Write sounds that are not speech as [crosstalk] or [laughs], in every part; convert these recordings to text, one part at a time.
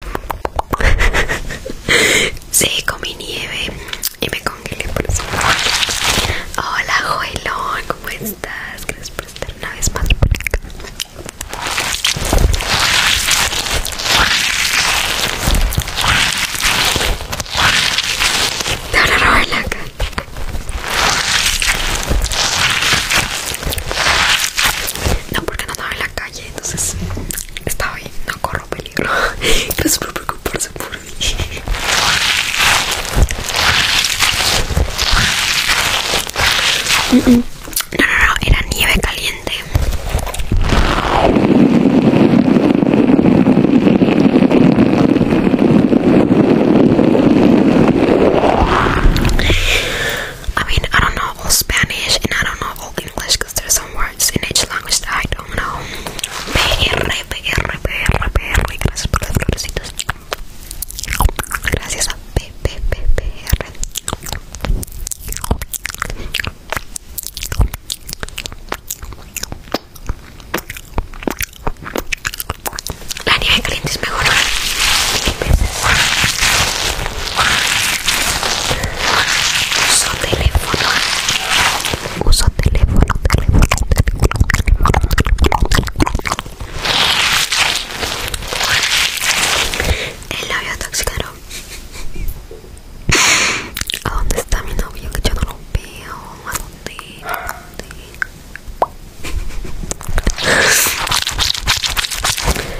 [laughs] sí, comí nieve y me congelé por eso. Hola, Joelón, ¿cómo estás? Gracias por estar una vez más por acá. Te van a robar la cara. No, porque no estaba en la calle entonces estaba bien, no corro peligro. Pero [laughs] por preocuparse por mí. Mm, mm. No, no, no, era nieve caliente. I mean, I don't know all Spanish and I don't know all English because there's some words in each language that I don't know. PR, Gracias por las florecitas. Gracias a P, P, P, La nieve caliente es mejor. Uso teléfono. Uso teléfono, teléfono, teléfono, teléfono. El labio ¿A dónde está mi novio? Que yo no lo veo.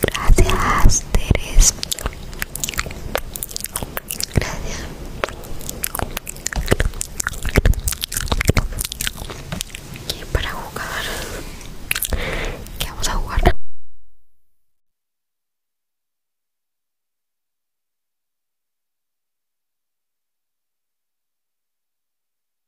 Gracias, Teres. Gracias. Y para jugar, ¿qué vamos a jugar?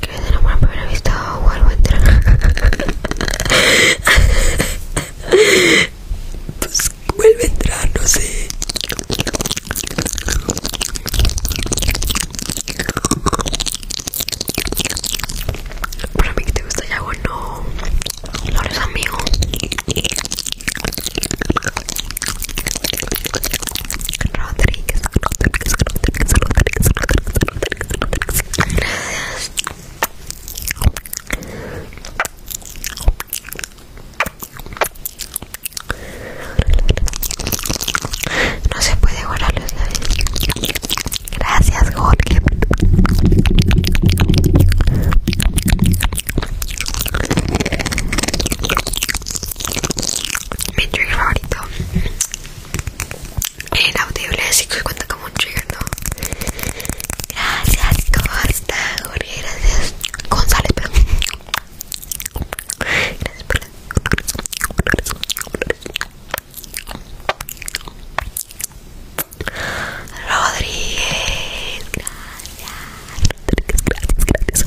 que es el amor primera vista o a entrar [laughs] pues vuelve a entrar no sé para mí que te gusta ya o no no eres amigo lo Rodríguez, Rodríguez, Rodríguez, Rodríguez, Rodríguez, no se puede guardar los labios. Gracias, Jorge. Mi drink favorito inaudible, así que cuenta como un trigger, Gracias, ¿cómo está Gracias, González, Gracias Rodríguez, gracias, gracias, gracias, gracias.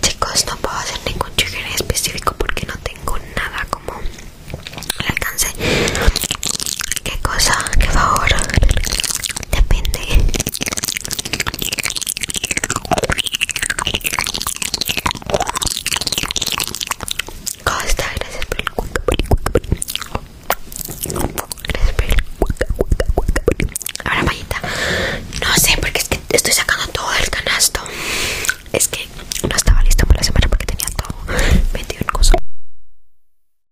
Chicos, no puedo hacer ningún chicle específico porque no tengo nada como alcance. ¿Qué cosa? ¿Qué favor? depende ¿Cómo está? Gracias por el cuca, Gracias por el cuca, cuenta, cuenta. Ahora Mayita No sé, porque es que estoy sacando todo del canasto Es que no estaba listo para la semana porque tenía todo 21 cosas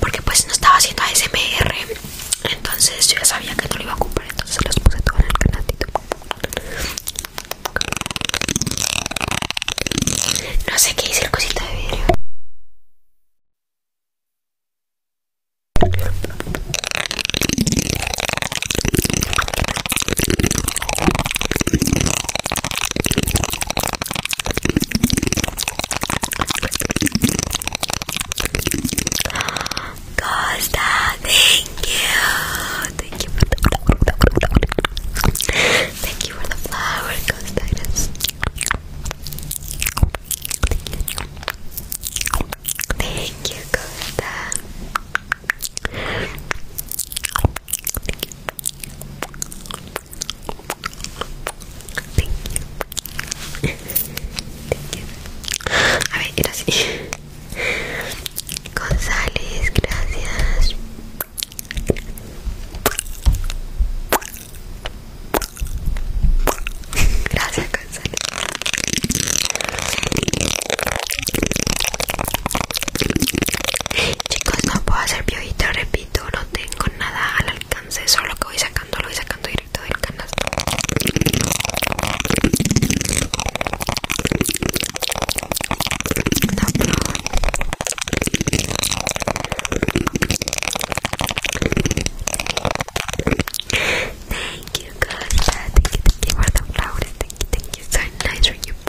Porque pues no estaba haciendo ASMR Entonces yo ya sabía que no lo iba a comprar Entonces los puse todo en el canal No sé qué hice el cosito de vidrio Costa, thank you. Thank you for the Thank you for the flower, Costa. Thank you, Costa. A ver, era así. González, gracias. Gracias, González. Chicos, no puedo hacer piojita, repito, no tengo nada al alcance, solo que voy sacando, lo voy sacando directo del canasto. No, Thank you guys, thank you, thank you for the thank you, thank you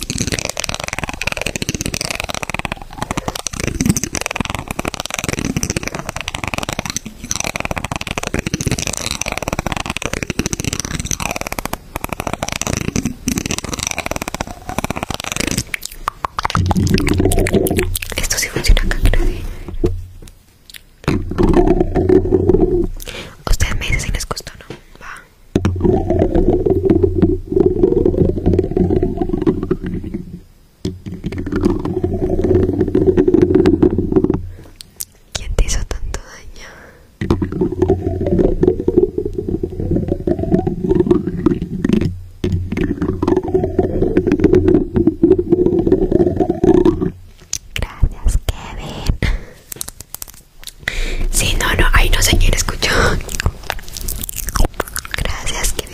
Esto sí funciona acá, Ustedes me dicen si les costó no. Va. ¿Quién te hizo tanto daño? Gracias, Kevin. Sí, no, no, hay no se quiere escuchó. Gracias, que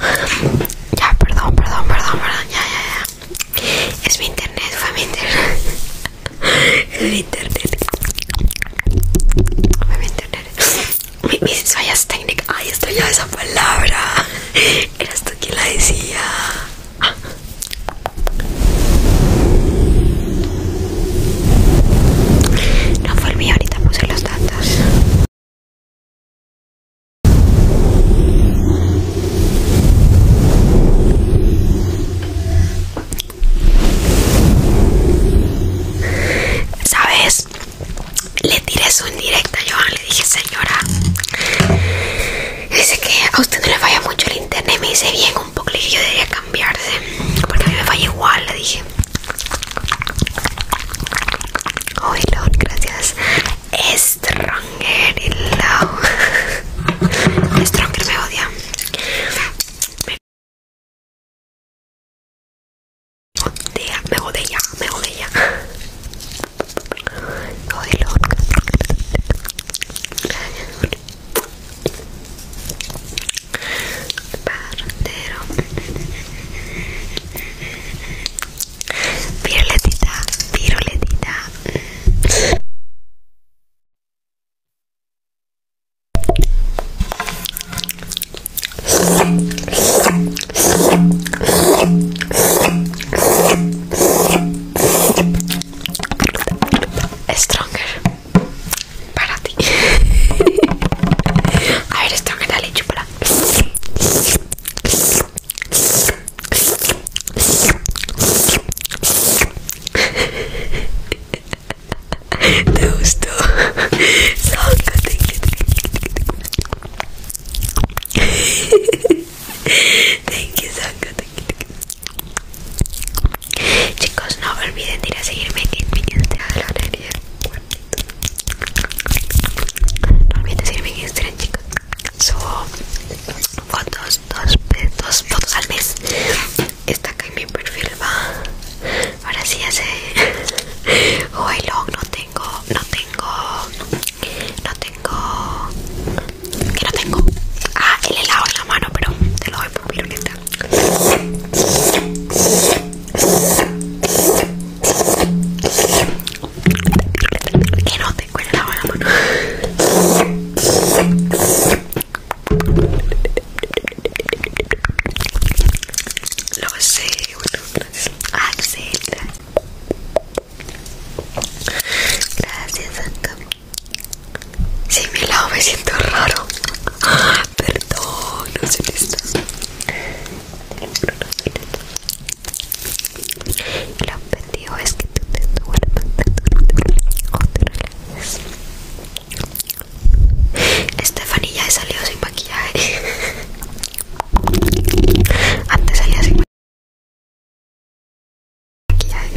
Ya, perdón, perdón, perdón, perdón, ya, ya, ya. Es mi internet, fue mi internet. [laughs] Es mi internet. Fue mi internet. Mi, mis técnica técnicas. Ay, ya esa palabra. Era esto quien la decía. No fue el mío, ahorita puse los datos. ¿Sabes? Le tiré su indirecta, yo le dije, señora, dice que a usted no le falla mucho el internet, me dice bien un poco, le dije, yo debería cambiarse, porque a mí me falla igual, le dije hoy Lord, gracias. Stronger, love. [laughs] Stronger me odia. Me odia, me odia, me odia. Hoy Elon. Gracias. partero Viruletita, viruletita. Stronger para ti. [laughs] A ver, Stronger, dale, chupa [laughs] ¿Te [laughs] Thank you, Chicos, no olviden ir a seguirme en mi no olvides seguirme en Instagram, chicos. Subo fotos, dos, dos fotos al mes. Está acá en mi perfil, va. Ahora sí ya sé. [laughs] Oh, no tengo, no tengo, no tengo, que no tengo. Ah, el helado en la mano, pero te lo doy por miro que no te cuele la mano. Lo sé, bueno, aceptar. Ah, gracias, Anca. Si mi lado me siento raro. Ah, perdón, no sé esto. El objetivo es que tú te duermas o te relajes. Stephanie ya salido sin maquillaje. Antes salía sin maquillaje.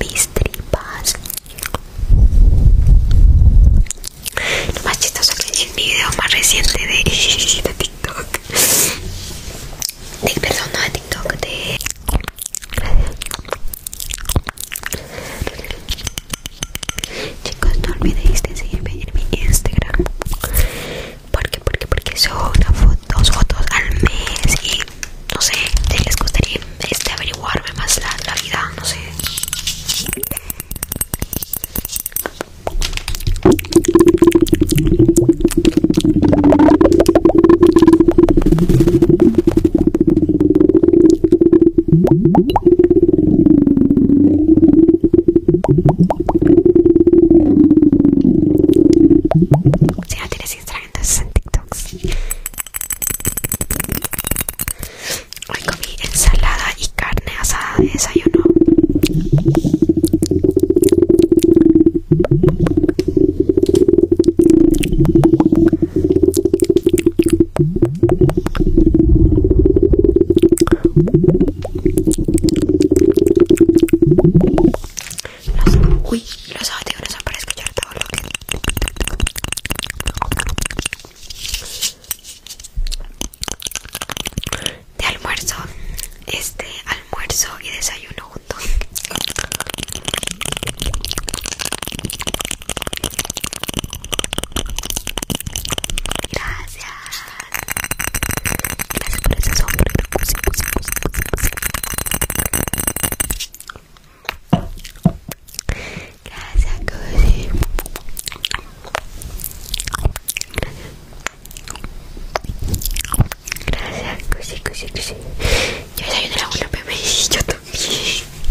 Mis tripas. Lo más chistoso que el video más reciente de, TikTok. De no de TikTok de Chicos, no olvidéis de seguirme en mi Instagram. Porque, porque, porque una foto, dos fotos al mes y no sé, si les gustaría este, averiguarme más la vida, no sé. Si no tienes Instagram, entonces en TikTok. Hoy comí ensalada y carne asada de desayuno uy, los audífonos son para escuchar todo lo que... De almuerzo, este almuerzo y desayuno juntos. Gracias. Gracias por ese sombrero. Gracias, Gracias Gracias, Gracias Yo soy un bebé. Yo también.